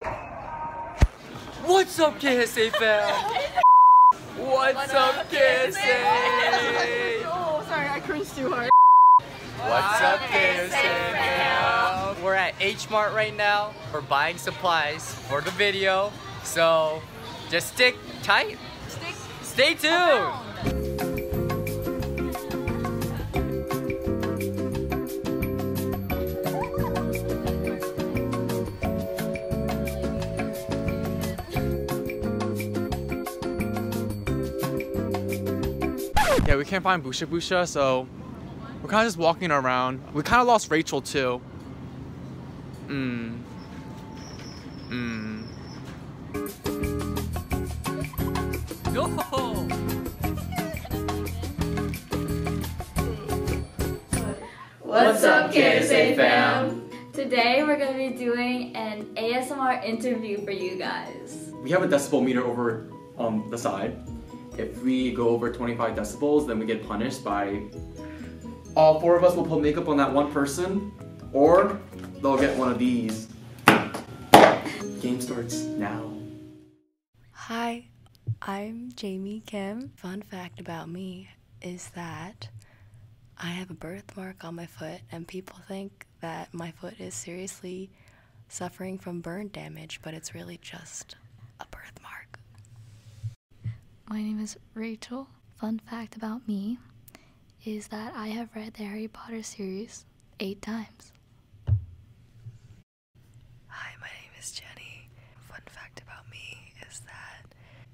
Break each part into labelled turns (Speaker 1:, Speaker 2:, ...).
Speaker 1: What's up, KSA fam? What's up, KSA? oh, sorry, I cringed too hard. What's up, KSA We're at H Mart right now. We're buying supplies for the video, so just stick tight. Stay tuned. Yeah, we can't find Busha Busha, so we're kind of just walking around. We kind of lost Rachel too. Mmm. Mmm. No! What's up, KSA fam? Today we're going to be doing an ASMR interview for you guys. We have a decibel meter over on um, the side. If we go over 25 decibels, then we get punished by all four of us will put makeup on that one person, or they'll get one of these. Game starts now. Hi, I'm Jamie Kim. Fun fact about me is that I have a birthmark on my foot, and people think that my foot is seriously suffering from burn damage, but it's really just a birthmark. My name is Rachel. Fun fact about me is that I have read the Harry Potter series eight times. Hi, my name is Jenny. Fun fact about me is that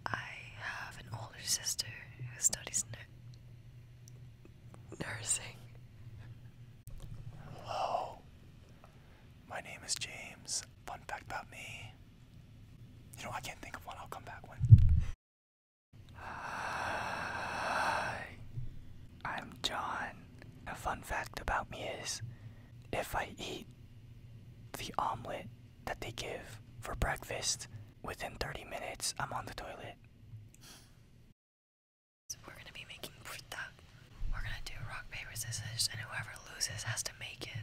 Speaker 1: I have an older sister who studies nursing. Hello, my name is James. Fun fact about me. You know, I can't think of one, I'll come back when. Hi, I'm John. A fun fact about me is if I eat the omelet that they give for breakfast within 30 minutes, I'm on the toilet. So we're gonna be making purta. We're gonna do rock, paper, scissors, and whoever loses has to make it.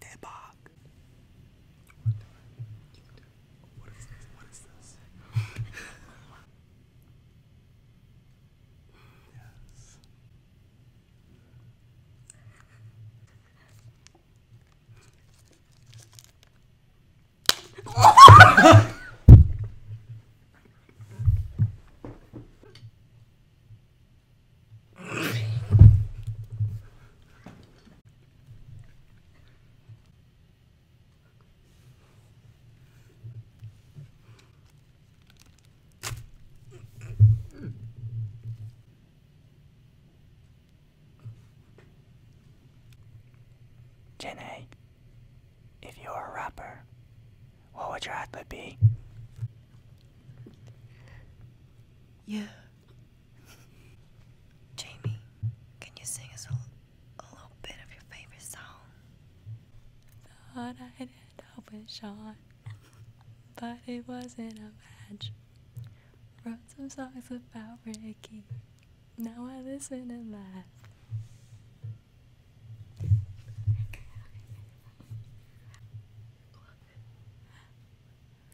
Speaker 1: Dead bog. We're doing it. You can do it. What is this? What is this? yes. Jenny, if you were a rapper, what would your advert be? Yeah, Jamie, can you sing us a, little bit of your favorite song? Thought I'd up with Sean, but it wasn't a match. Wrote some songs about Ricky, now I listen and laugh you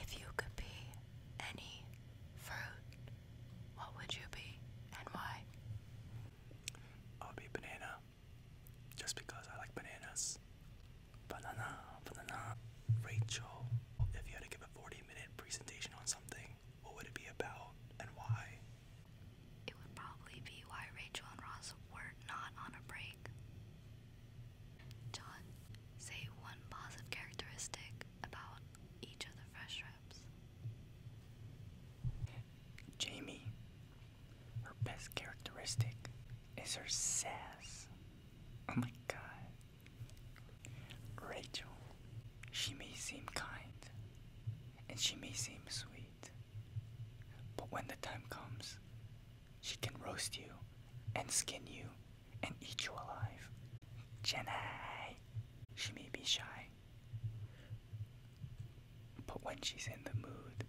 Speaker 1: if you could be any fruit, what would you be and why? I'll be banana. Just because I like bananas. Banana, banana. Rachel, if you had to give a 40 minute presentation on something, what would it be about and why? It would probably be why Rachel and Ross were not on a break. John, say one positive characteristic about each of the fresh reps. Jamie, her best characteristic is her sass. Oh my god, Rachel, she may seem kind and she may seem sweet, but when the time comes, she can roast you and skin you and eat you alive. Jenny, she may be shy, but when she's in the mood,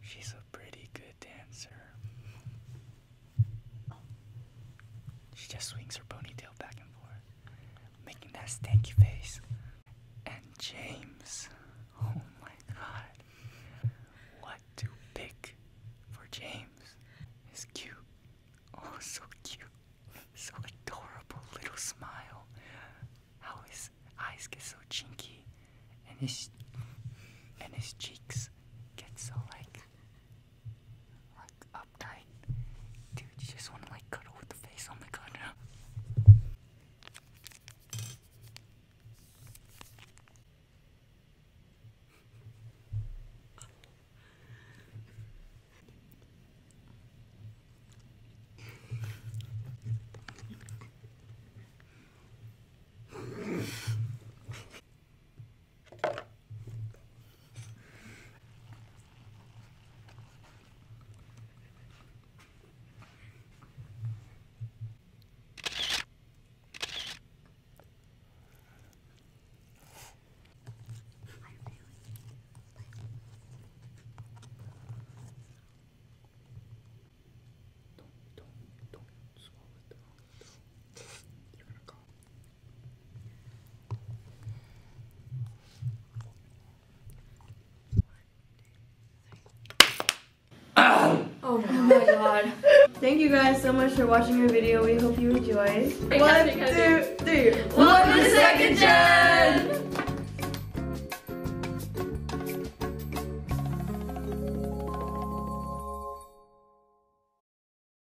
Speaker 1: she's a pretty good dancer. She just swings her ponytail back and forth making that stanky face. And James. Oh my god. What to pick for James? He's cute. Oh, so cute. So adorable little smile. How his eyes get so chinky and his and his cheeks get so like like uptight. Dude, you just wanna like cuddle with the face. Oh my god, don't, don't, don't swallow it down. You're gonna call. Oh my god. Thank you guys so much for watching our video. We hope you enjoyed. One, two, three. Welcome to